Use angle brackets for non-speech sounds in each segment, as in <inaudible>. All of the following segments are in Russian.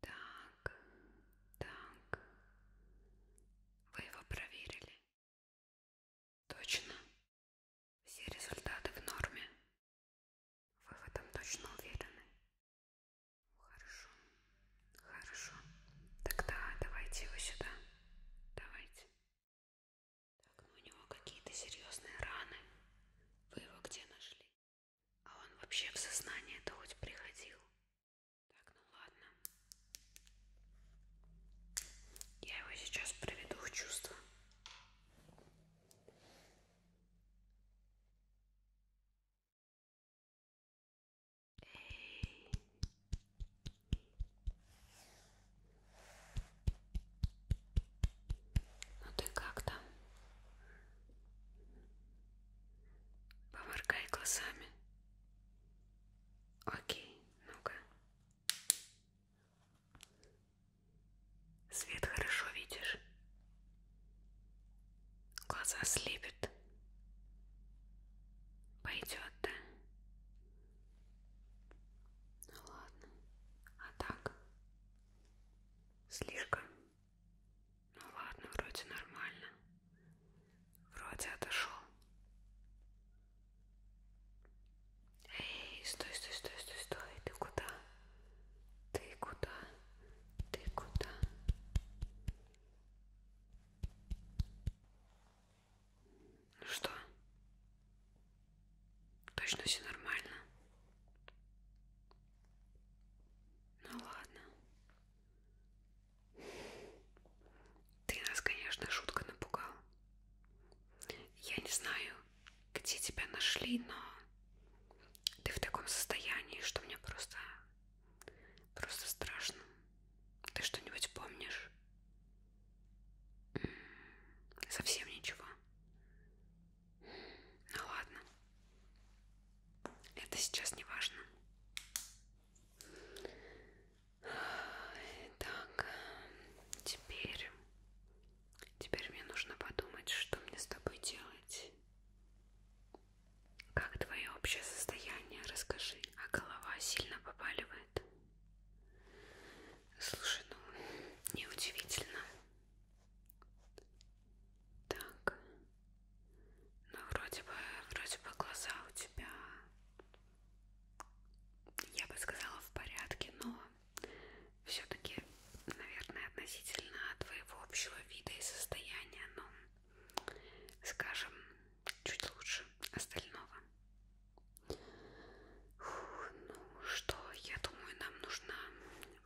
Так, так. Вы его проверили? Точно. Все результаты в норме. Вы в этом точно уверены? Хорошо, хорошо. Тогда давайте его сюда. Давайте. Так, ну у него какие-то серьезные раны. Вы его где нашли? А он вообще в сознание-то хоть приходил? Так, ну ладно. Я его сейчас приведу в чувство. Эй. Ну ты как там? Поморгай глазами. Окей, ну-ка. Свет хорошо видишь? Глаза слепит. Пойдет, да? Ну ладно. А так? Слишком ну ладно, вроде нормально. Вроде отошел. Эй, стой, стой, стой, стой, стой. Ты куда? Ты куда? Ты куда? Ну что? Точно все нормально? Ну ладно. Ты нас, конечно, шутка напугал. Я не знаю, где тебя нашли, но ты в таком состоянии, что мне просто, просто страшно. Ты что-нибудь помнишь? Совсем ничего. Ну ладно. Это сейчас не важно. Так, теперь... Теперь мне нужно подумать, что мне с тобой делать. Как твое общее состояние? Расскажи. А голова сильно побаливает? Слушай, ну неудивительно. Так. Ну, вроде бы, вроде бы глаза у тебя, я бы сказала, в порядке, но все-таки, наверное, относительно твоего общего вида и состояния, но, ну, скажем, чуть лучше остального. Фу, ну что, я думаю, нам нужна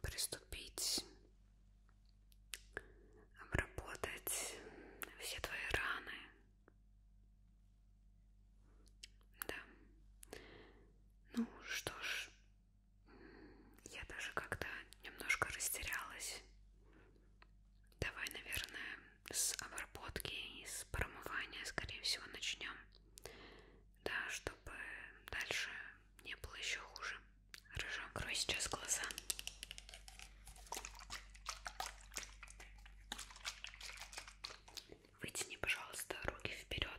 приступить, обработать все твои раны. Да. Ну что ж, я даже когда немножко растерялась. Давай, наверное, с обработки и с промывания, скорее всего, начнем. Да, чтобы дальше не было еще хуже. Хорошо, открой сейчас глаза. Вытяни, пожалуйста, руки вперед.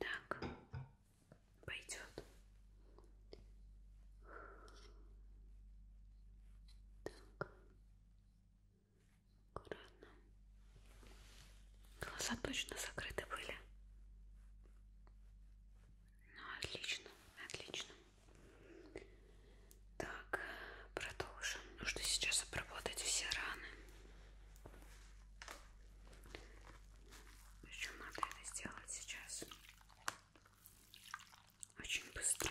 Так, пойдет. Так, аккуратно. Глаза точно закрыты были. Ну, отлично, отлично. Так, продолжим. Нужно сейчас обработать все раны. Причем надо это сделать сейчас. Очень быстро.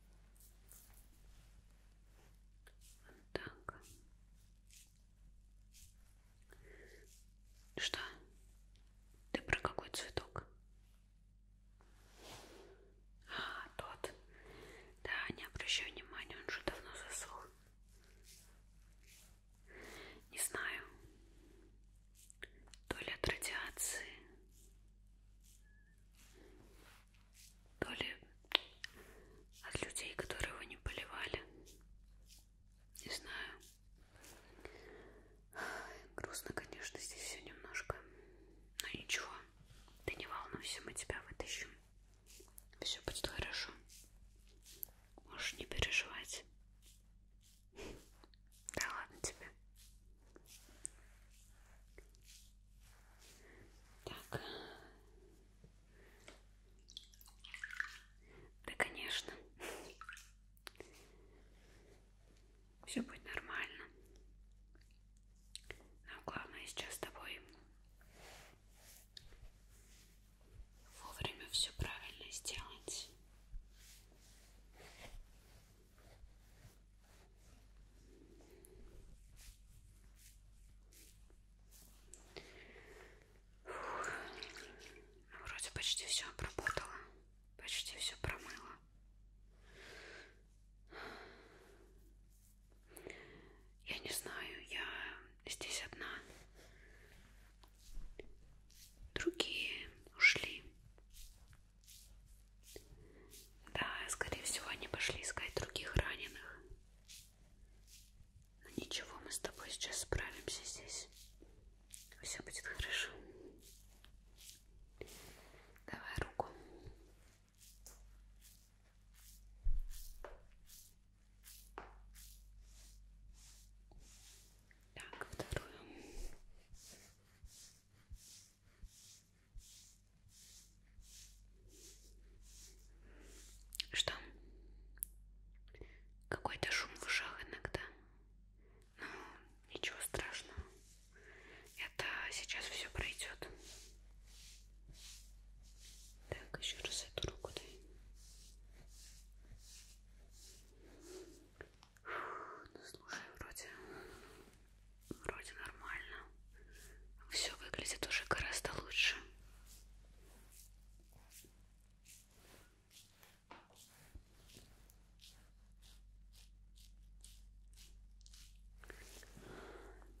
Вот так. Что? Ты про какой цветок? А, тот. Да, не обращай внимания, он же давно засох. Не знаю. То ли от радиации, то ли от людей, которые его не поливали. Не знаю. Грустно, конечно, здесь все немножко. Но ничего. Ты не волнуйся, мы тебя вытащим. Все будет хорошо. Можешь не переживать. Да ладно тебе. Так. Да, конечно. Все будет нормально. Но главное сейчас с тобой вовремя все правильно сделать. Вроде почти все обработала, почти все промыла. Я не знаю, я здесь одна. Другие ушли. Да, скорее всего, они пошли искать других раненых. Но ничего, мы с тобой сейчас справимся здесь. Все будет хорошо. Давай руку. Так, вторую. Что? Какой-то шум в ушах иногда. Ну, ничего страшного. Это сейчас все пройдет. Так, еще раз эту руку дай. Ну слушай, вроде, вроде нормально. Все выглядит уже гораздо лучше.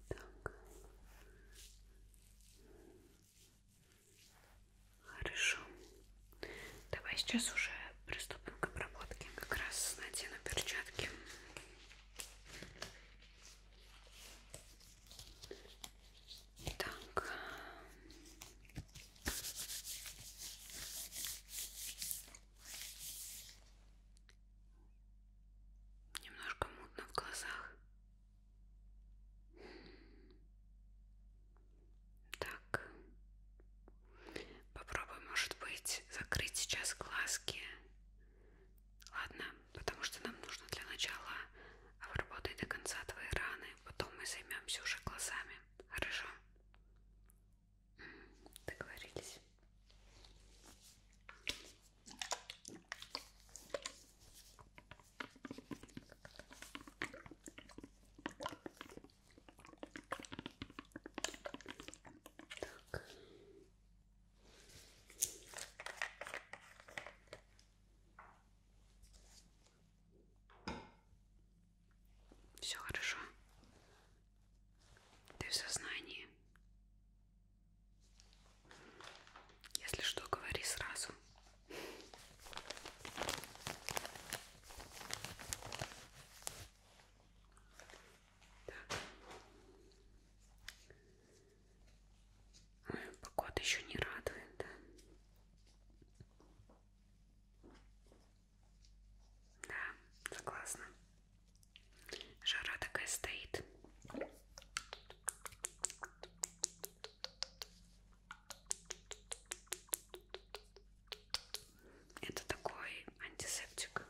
Так. Хорошо. Давай сейчас уже Приступим к обработке. Как раз надену перчатки. Так. Немножко мутно в глазах. Так. Попробуй, может быть, закрыть сейчас глазки. Ладно, потому что нам нужно для начала обработать до конца твои раны, потом мы займемся уже глазами. Хорошо? Договорились. Так. Все хорошо. Ты в сознании. Если что, говори сразу. Так. Погода еще не радует, да? Да, согласна. Жара такая стоит. Это такой антисептик.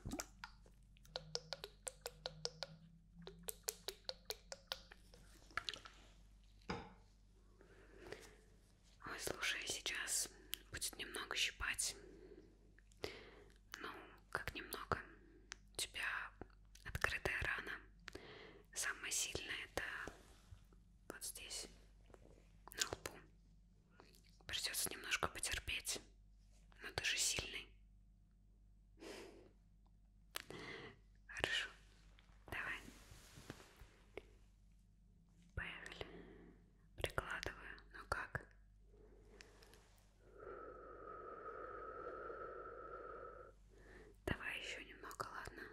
Ой, слушай, сейчас будет немного щипать. Ну, как немного. У тебя открытая рана. Самое сильное это вот здесь, на лбу. Придется немножко потерпеть. Но ты же сильный. Хорошо. Давай. Поехали. Прикладываю. Ну как? Давай еще немного, ладно?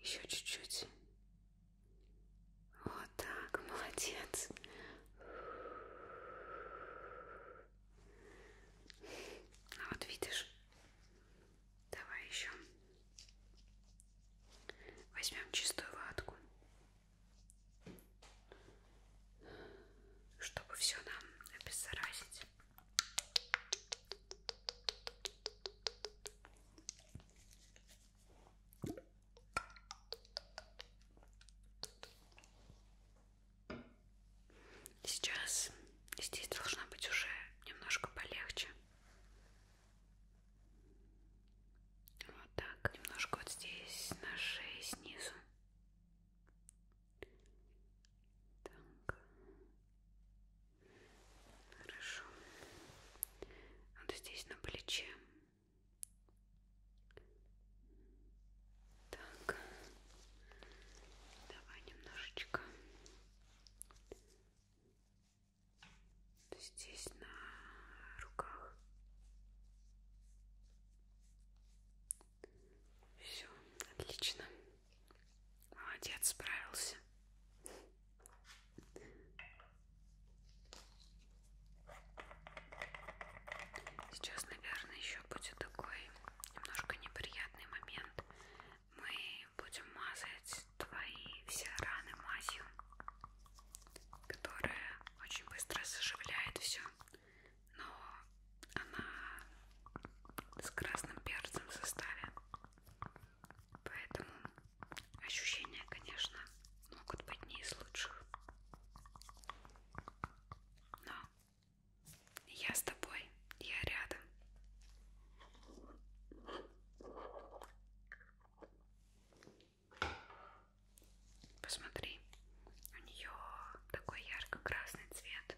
Еще чуть-чуть. Вот так, молодец. Ну вот видишь. Давай еще. Возьмем чистую ватку чтобы все нам обеззаразить. Сейчас здесь должна быть уже немножко полегче. Вот так. Немножко вот здесь на шее снизу. Так. Хорошо. Вот здесь на плече. Так. Давай немножечко. Здесь на руках. Все, отлично. Молодец, справился. Сейчас, наверное, еще будет такой немножко неприятный момент. Мы будем мазать твои все раны мазью, которая очень быстро заживляет все но она с красным перцем в составе, поэтому ощущения, конечно, могут быть не из лучших. Но я с тобой, я рядом. Посмотри, у нее такой ярко-красный цвет.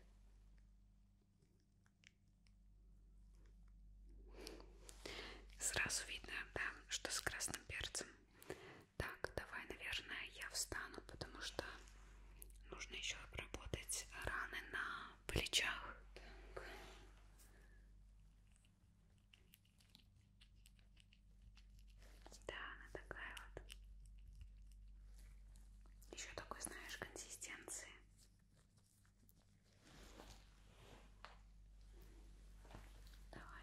Сразу видно, да, что с красным перцем. Так, давай, наверное, я встану, потому что нужно еще обработать раны на плечах. Так. Да, она такая вот. Еще такой, знаешь, консистенции. Давай.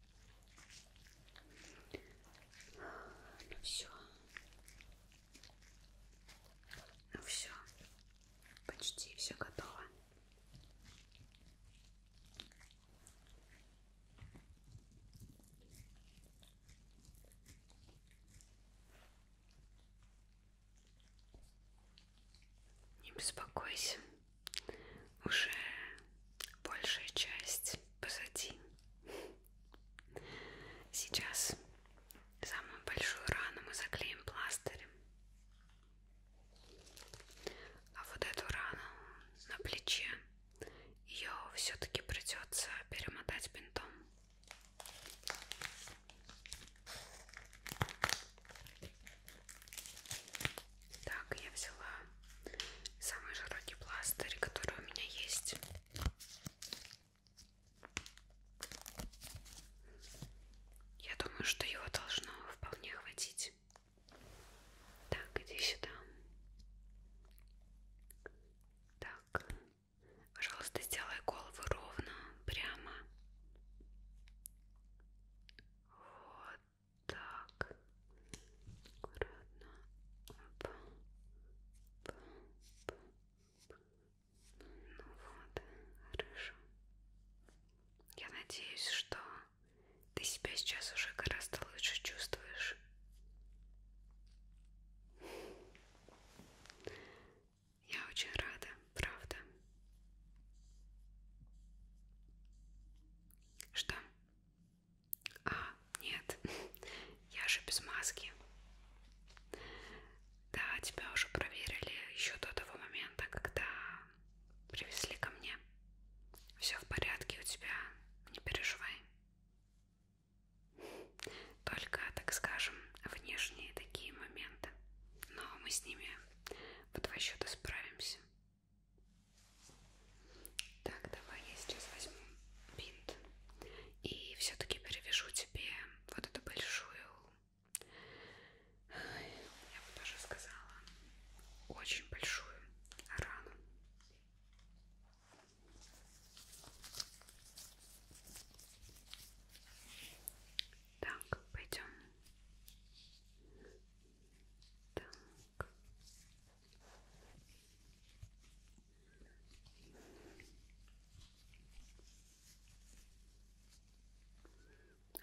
Ну все. Ну все. Почти все готово. Не беспокойся, уже большая часть позади. Сейчас самую большую рану мы заклеим пластырем. А вот эту рану на плече ее все-таки придется перемотать бинтом. Так, я взяла самый широкий пластырь, который у меня есть. Я думаю, что его должно вполне хватить. Так, иди сюда. Так, пожалуйста, сделай голову ровно, прямо. Вот. Так, аккуратно. Оп. Оп. Оп. Ну вот, хорошо. Я надеюсь, что ты себя сейчас уже гораздо лучше чувствуешь. Я очень рада, правда. Что? А, нет, <laughs> я же без маски. Да, тебя уже проверили еще до того момента, когда привезли ко мне. Все в порядке у тебя, не переживай. <laughs> Только, так скажем, внешние такие моменты. Но мы с ними в два счета справимся. Так, давай я сейчас возьму бинт и все-таки перевяжу тебе вот эту большую, я бы даже сказала, очень большую рану. Так, пойдем. Так.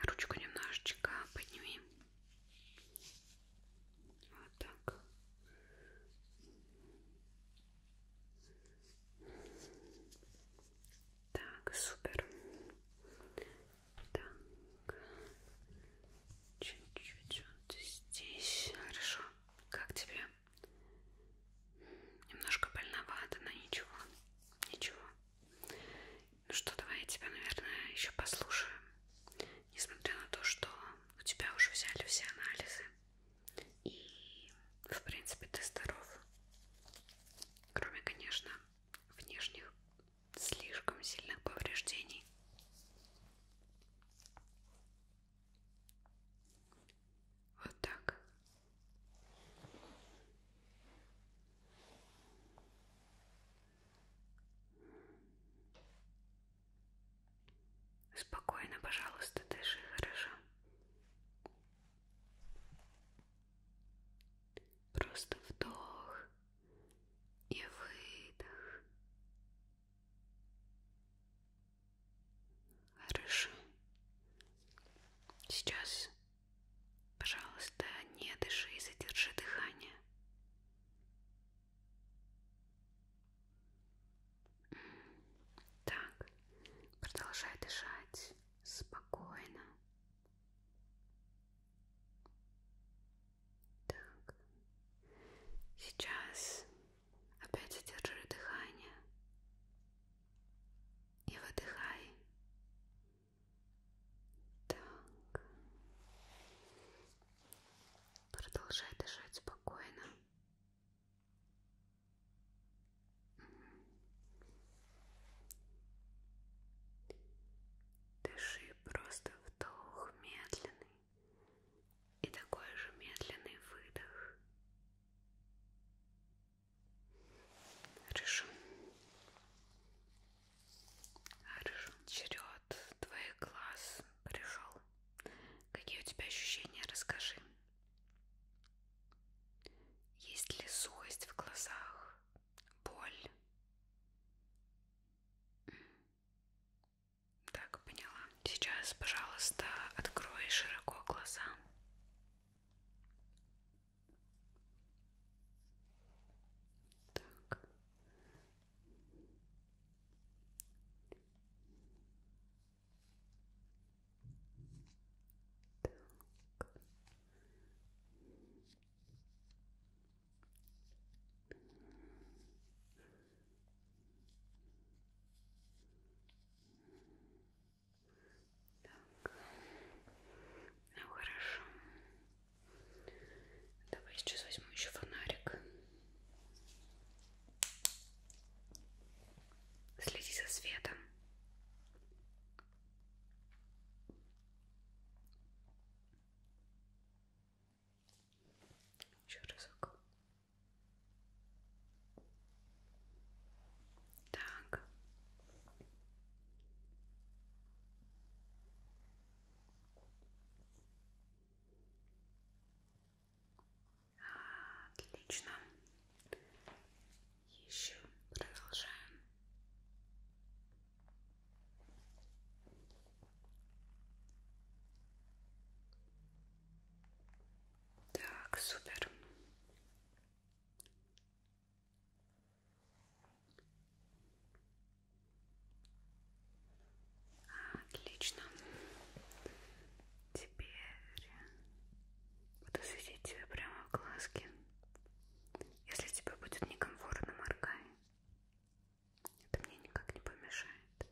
Ручку немножечко подними. Вот так. Так, супер. Да чуть-чуть вот здесь. Хорошо. Как тебе? Немножко больновато, но ничего. Ничего. Ну что, давай я тебя, наверное, еще послушаю. Несмотря на то, что у тебя уже взяли все анализы. И, в принципе, ты здоров. Кроме, конечно, внешних слишком сильных повреждений. Вот так. Спокойно, пожалуйста, дыши хорошо. Просто вдох и выдох. Хорошо. Сейчас, пожалуйста, не дыши и задержи дыхание. Так, продолжай дышать спокойно. Так. Сейчас опять задержи дыхание и выдыхай. Так. Продолжай дышать спокойно. Дыши просто вдох медленный и такой же медленный выдох. Хорошо. Хорошо. Черед твоих глаз пришел. Какие у тебя ощущения? Расскажи. Есть ли сухость в глазах? Боль? Так, поняла. Сейчас, пожалуйста, открой широко глаза. Так. Так. Так. Ну хорошо. Давай сейчас возьму еще фонарик. Следи за светом. Еще разок. Так. Отлично. Еще продолжаем. Так, супер. Отлично. Теперь буду светить тебе прямо в глазки. Если тебе будет некомфортно, моргай. Это мне никак не помешает. Так.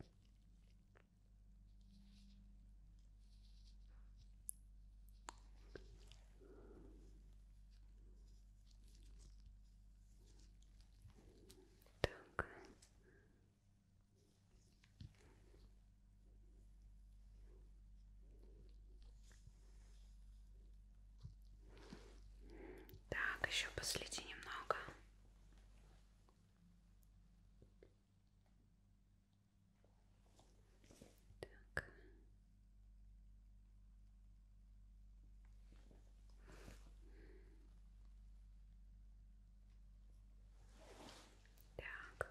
Так, еще последи немного. Так. Так.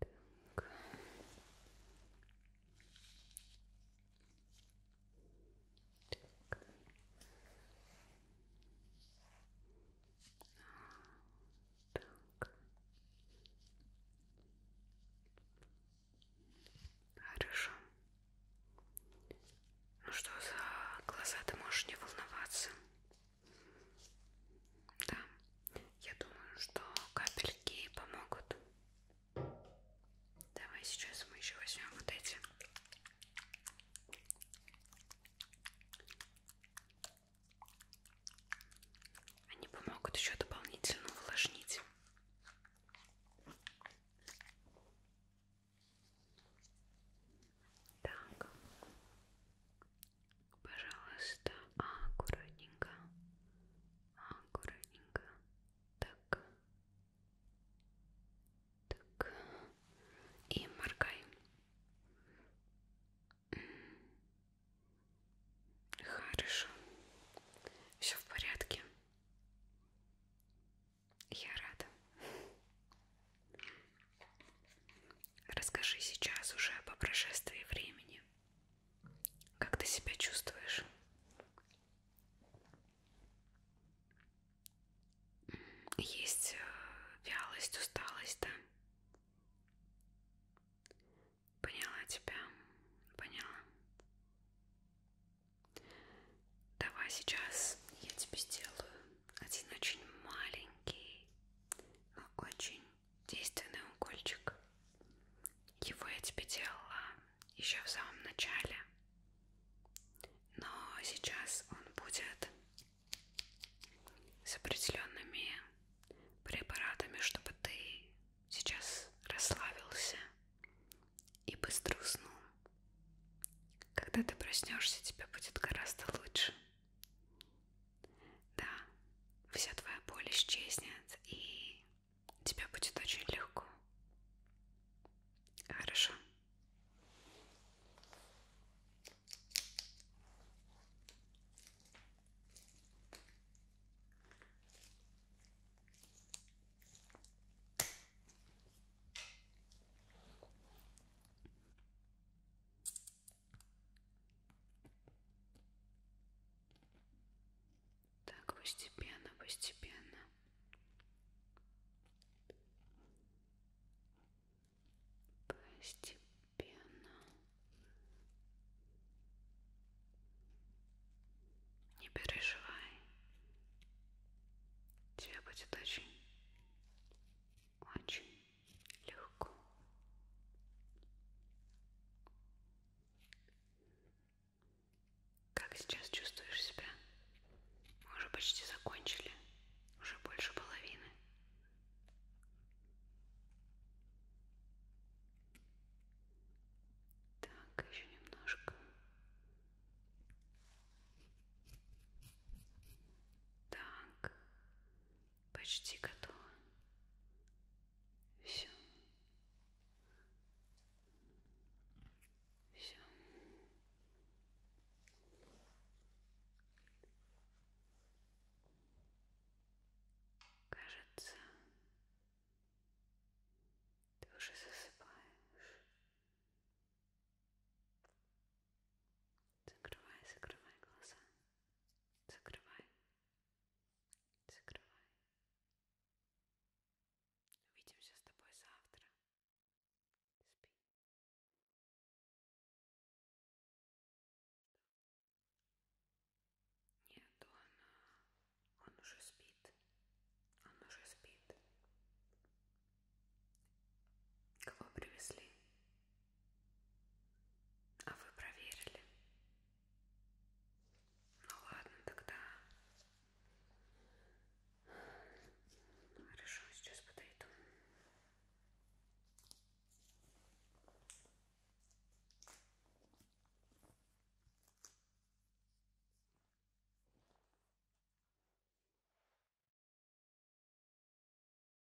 Так. Так. Так. Хорошо. Ну что за глаза, ты можешь не волноваться. Да, я думаю, что капельки помогут. Давай сейчас мы еще возьмем вот эти. Они помогут еще дополнительно увлажнить. Так, Пожалуйста, а, аккуратненько, а, аккуратненько, так, так, и моргай. Хорошо, все в порядке. Я рада. Расскажи сейчас уже по прошествии времени, как ты себя чувствуешь. Есть э, вялость, усталость, да? Поняла тебя, поняла. Давай сейчас я тебе сделаю один очень маленький, но очень действенный укольчик. Его я тебе делала еще в самом начале, но сейчас он будет с определенными препаратами, чтобы ты сейчас расслабился и быстро уснул. Когда ты проснешься, тебе будет гораздо лучше. Да, вся твоя боль исчезнет, и тебе будет очень легко. Хорошо. Так, постепенно, постепенно. Постепенно. Не переживай. Тебе будет очень, очень легко. Как сейчас чувствуешь себя? Мы уже почти закончили, уже больше половины. Так, еще немножко. Так, Почти готово. Все. Все. Кажется, ты уже засыпаешь. Закрывай, закрывай глаза. Закрывай. Закрывай. Увидимся с тобой завтра. Спи. Нет, он, э, он уже спит. Он уже спит. Кого привезли? А вы проверили? Ну ладно, тогда хорошо, сейчас подойду.